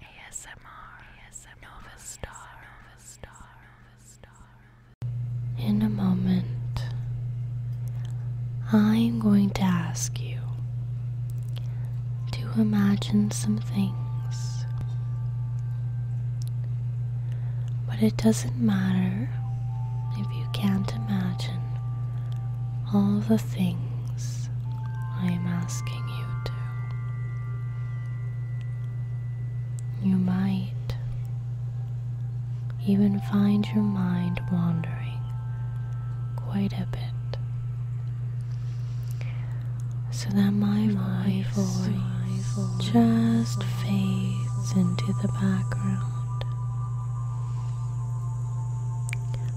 ASMR, Nova Star. In a moment, I'm going to ask you to imagine some things. But it doesn't matter if you can't imagine all the things. I'm asking you to. You might even find your mind wandering quite a bit. So that my, my voice, my voice just fades into the background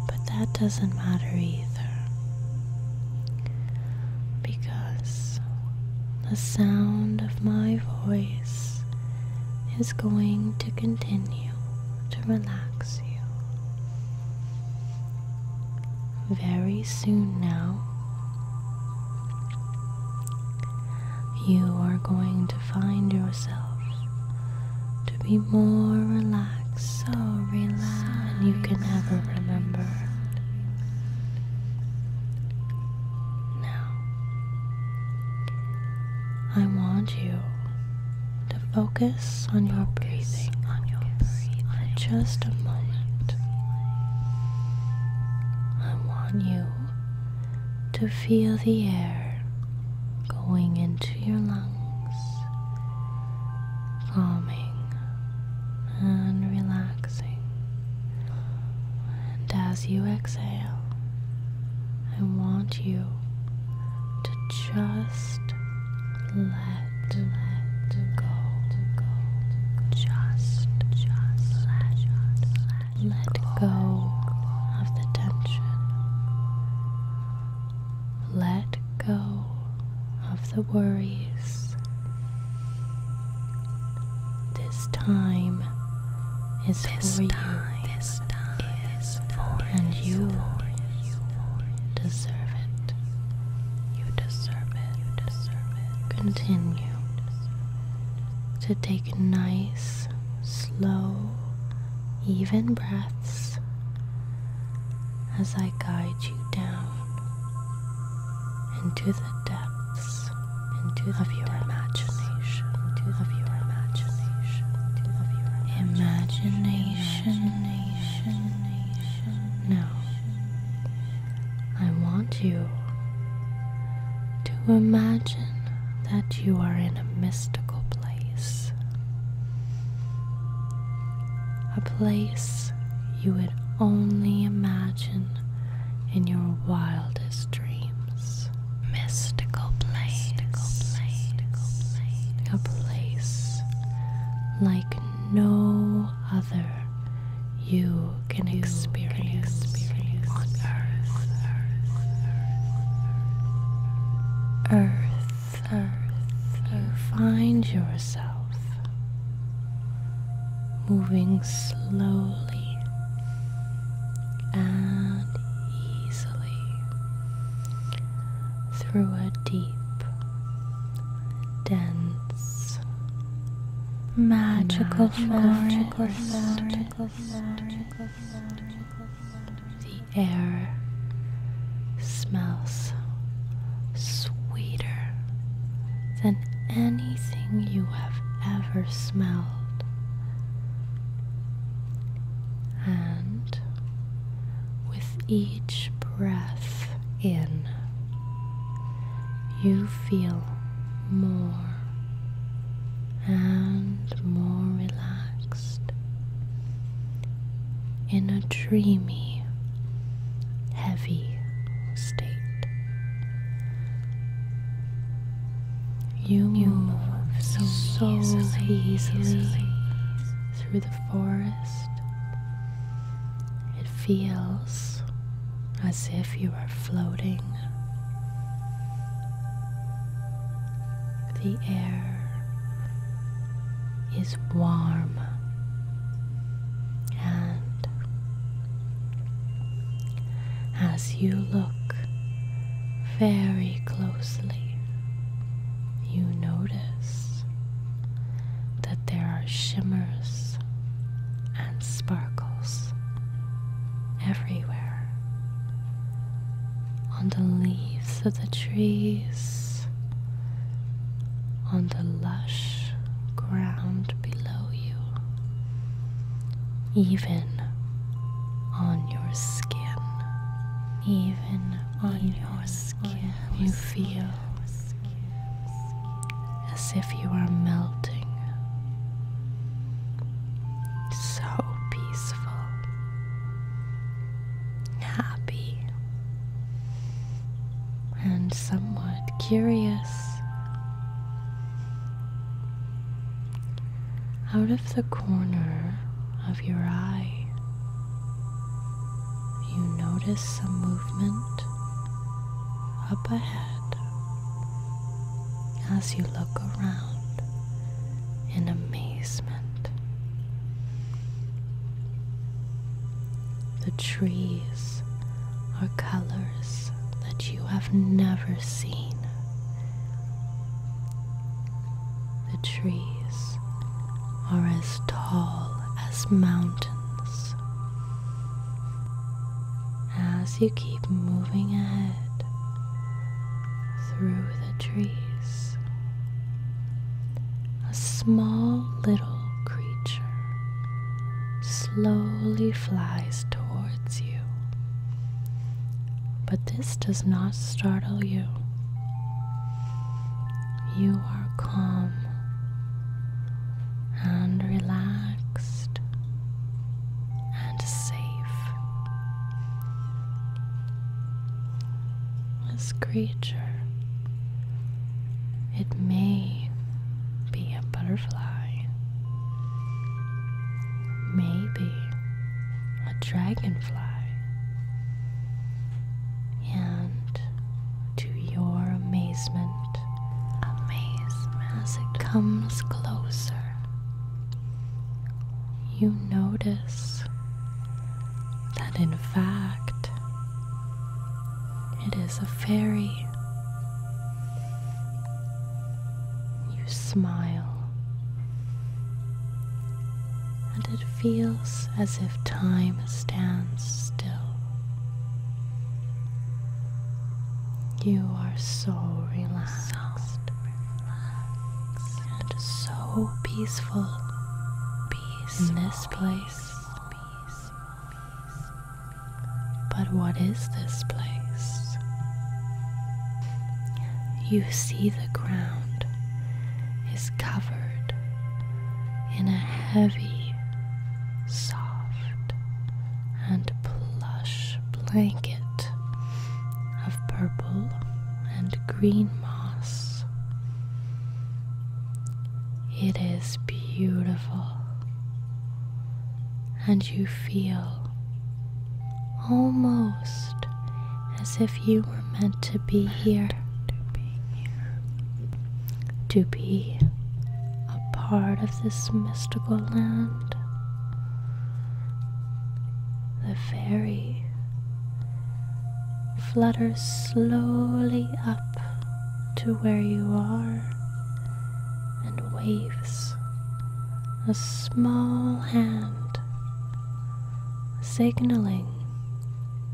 but that doesn't matter either. Because the sound of my voice is going to continue to relax you. Very soon now, you are going to find yourself to be more relaxed, so relaxed than you can ever remember. Now, I want you to focus on your breathing, on your breathing for just a moment. I want you to feel the air going into your lungs calming and relaxing. And as you exhale, I want you to just let, go. Just, let go of the tension let go of the worries. This time is this for time you. and you, deserve it. You deserve it. You deserve it. Continue to take nice, slow, even breaths as I guide you down into the depths of your imagination, imagination. imagination. Now, I want you to imagine that you are in a mystical place. A place you would only imagine in your wildest dreams. Mystical place. A place like no other you can experience, on Earth. Earth earth, you find yourself moving slowly and easily through a deep, dense, magical, forest the air smells sweeter than anything you have ever smelled. And with each breath in, you feel more and more relaxed in a dreamy, heavy state. You move so, easily through the forest. It feels as if you are floating. The air is warm and as you look very closely you notice that there are shimmers and sparkles everywhere on the leaves of the trees on the lush ground below you, even on your skin, even on your skin, you feel as if you are melting. So peaceful, happy, and somewhat curious. Out of the corner of your eye, you notice some movement up ahead as you look around in amazement. The trees are colors that you have never seen. The trees are as tall as mountains. As you keep moving ahead through the trees, a small little creature slowly flies towards you. But this does not startle you. You are calm and relaxed and safe. This creature it may be a butterfly, maybe a dragonfly. And to your amazement, amazement as it comes closer, you notice that in fact it is a fairy. You smile, and it feels as if time stands still. You are so relaxed, and so peaceful, peaceful in this place. But what is this place? You see, the ground is covered in a heavy, soft, and plush blanket of purple and green moss. It is beautiful. And you feel almost as if you were meant to be here. To be here. To be a part of this mystical land. The fairy flutters slowly up to where you are and waves a small hand signaling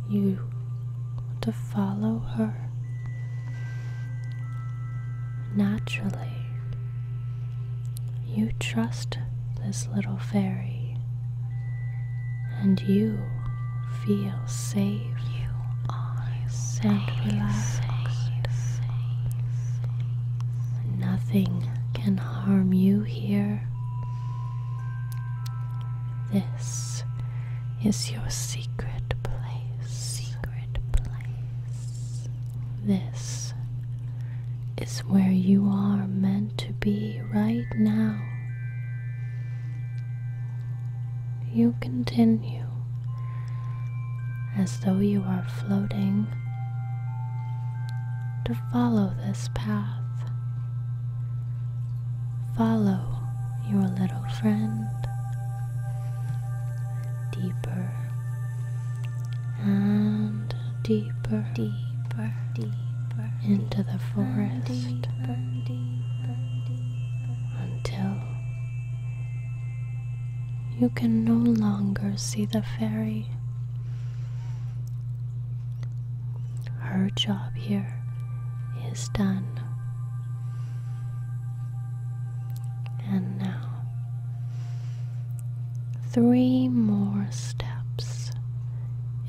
you to follow her. Naturally, you trust this little fairy and you feel safe. You and relaxed. Nothing can harm you here. This is your Secret place. This is where you are meant to be right now. You continue as though you are floating to follow this path. Follow your little friend deeper and deeper, deeper, deeper into the forest. Deeper, until you can no longer see the fairy. Her job here is done. And now, three more steps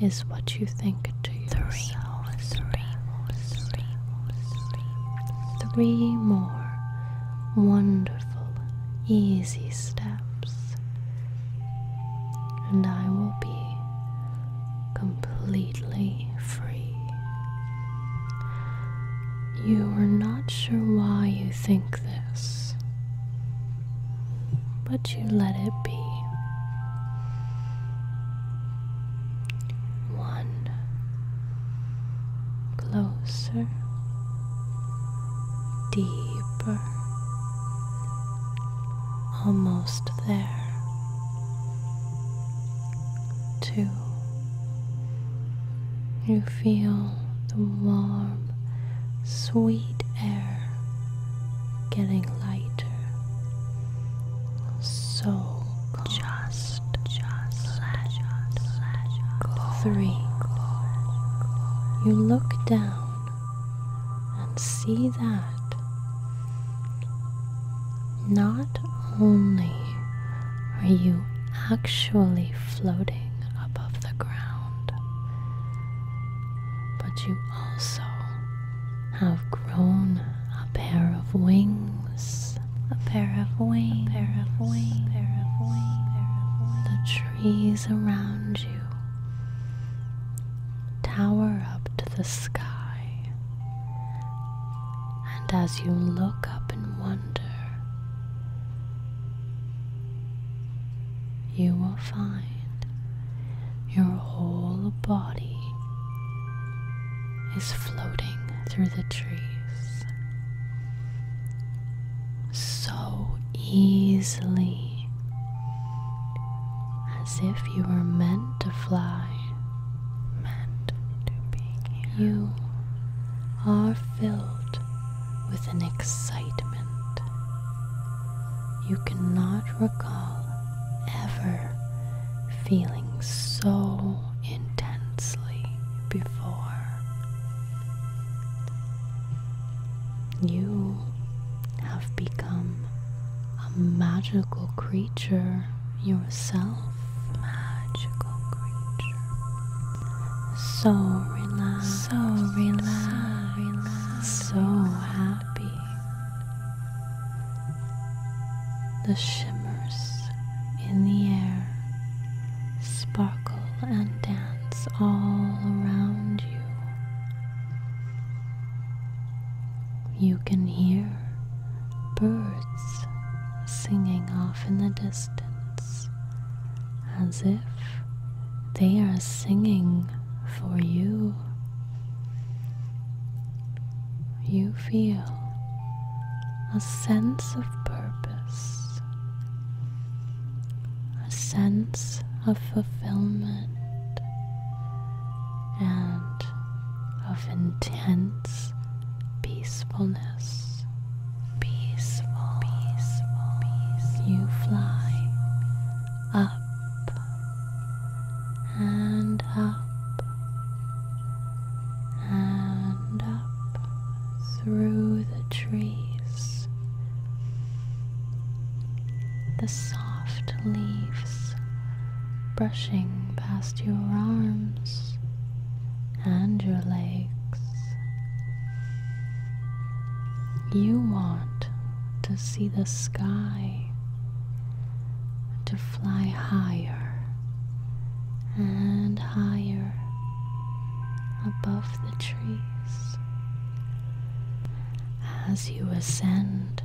is what you think to yourself three more, three more, three more wonderful, easy steps, and I will be completely free. You are not sure why you think this, but you let it be one closer, deeper, almost there, two. You feel the warm, sweet air getting lighter. So just, just let, Three. You look down and see that not only are you actually floating above the ground, but you also have grown a pair of wings, a pair of wings, a pair of wings, a pair of wings, The trees around you tower up to the sky, and as you look up in wonder, you will find your whole body is floating through the trees so easily, as if you were meant to fly. Meant to be here. You are filled with an excitement you cannot recall ever feeling so intensely before. You have become a magical creature yourself. Magical creature. So relaxed. So relaxed. So, relaxed. so happy. The shimmers in the air sparkle and dance all around you. You can hear birds singing off in the distance as if they are singing for you you feel a sense of purpose, a sense of fulfillment, and of intense peacefulness. Peaceful, peaceful, peaceful. You fly up and up and up through the trees. The soft leaves brushing past your arms and your legs. You want to see the sky, to fly higher and higher above the trees. As you ascend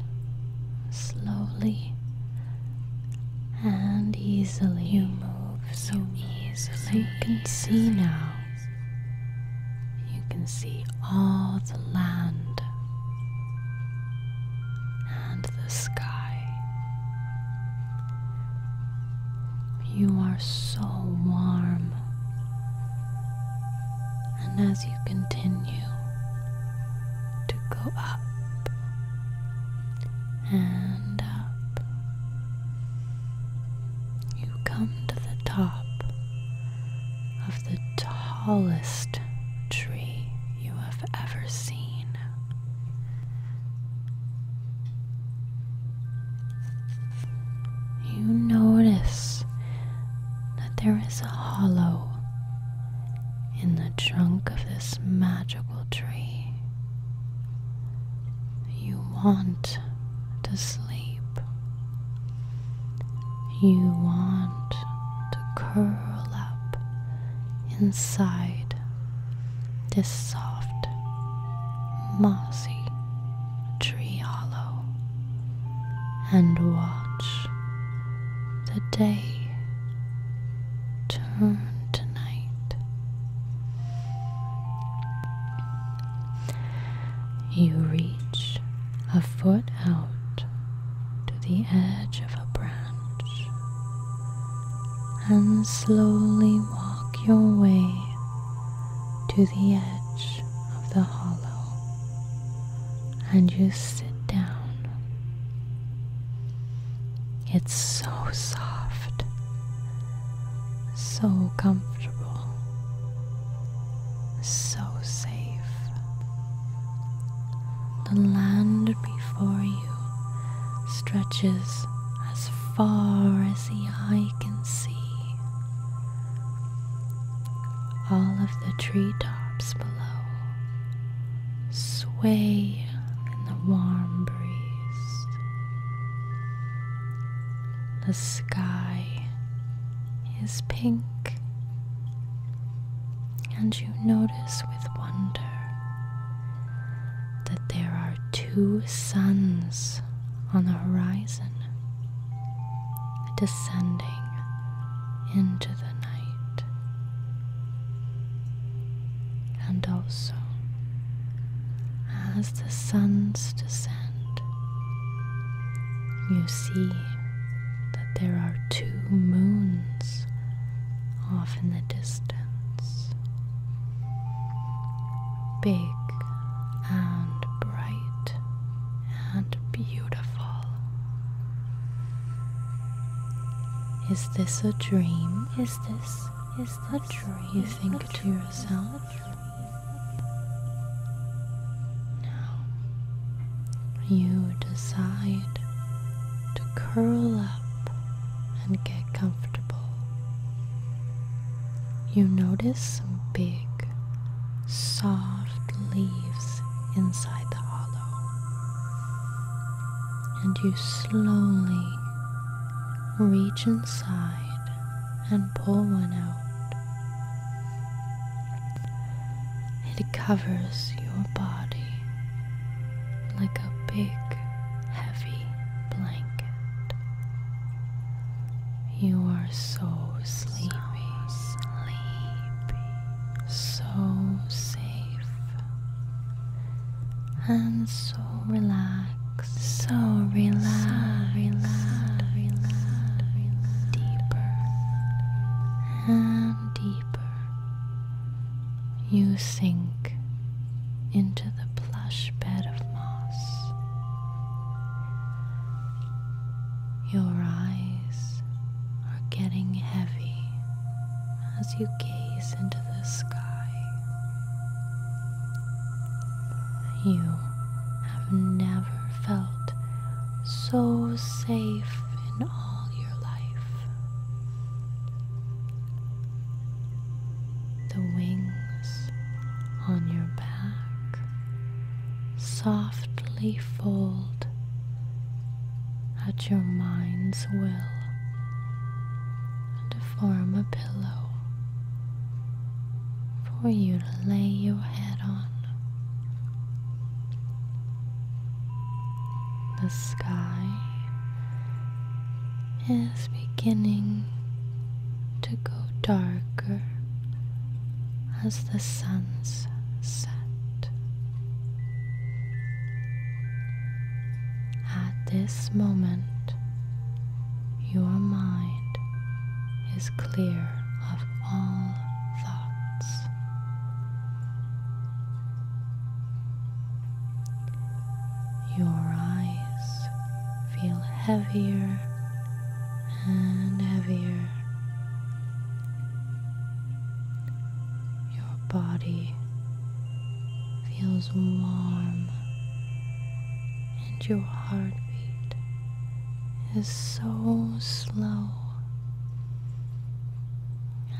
slowly and easily, you move so easily. You can see now. You can see all the land and the sky. You are so warm, and as you continue to go up and up, you come to the top of the tallest tree you have ever seen. You notice that there is a hollow in the trunk of this magical tree. You want to sleep. You want to curl up inside this soft, mossy tree hollow and watch the day turn to night. You reach a foot out to the edge of a branch and slowly walk your way to the edge of the hollow and you sit down. It's so soft, so comfortable, so safe. The land before you stretches as far as the eye can see. All of the tree tops below sway in the warm breeze. The sky is pink, and you notice with wonder that there are two suns on the horizon descending into the night, and also as the suns descend, you see that there are two moons off in the distance. Big and bright and beautiful. Is this a dream? Is this is the dream? You think to yourself. Now you decide to curl up and get comfortable. You notice some big, soft leaves inside the hollow, and you slowly reach inside and pull one out. It covers your body like a big, heavy blanket. You are so sleepy, so sleepy, so safe, and so relaxed, so relaxed, so relaxed, relaxed, deeper and deeper. You sink into the plush bed of moss. Your eyes are getting heavy as you gaze into the sky. You have never felt so safe in all your life the wings on your back softly fold at your mind's will to form a pillow for you to lay your head on the sky is beginning to go darker as the sun's set. At this moment, your mind is clear of all thoughts. Your eyes feel heavier and heavier. Your body feels warm and your heartbeat is so slow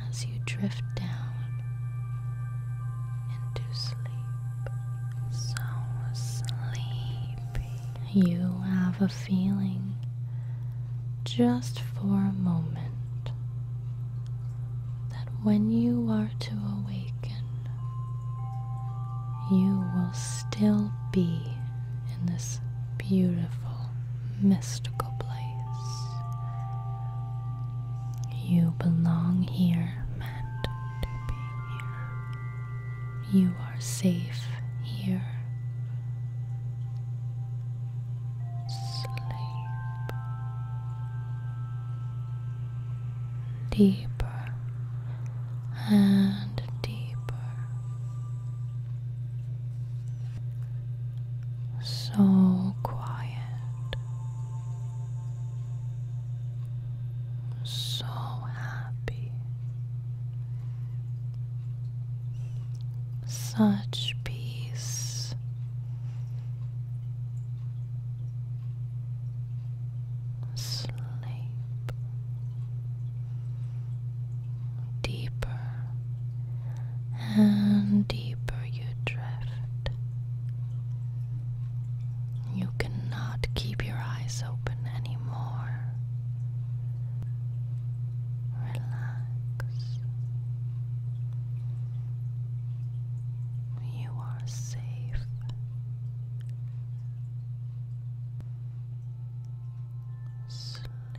as you drift down into sleep. So sleepy. You have a feeling just for a moment that when you are to awaken, you will still be in this beautiful, mystical place. You belong here, meant to be here. You are safe here. Sleep deeper and deeper. So quiet so happy. Such peace. Sleep deeper and deeper you drift. You cannot keep your eyes open anymore. Relax. You are safe. Sleep.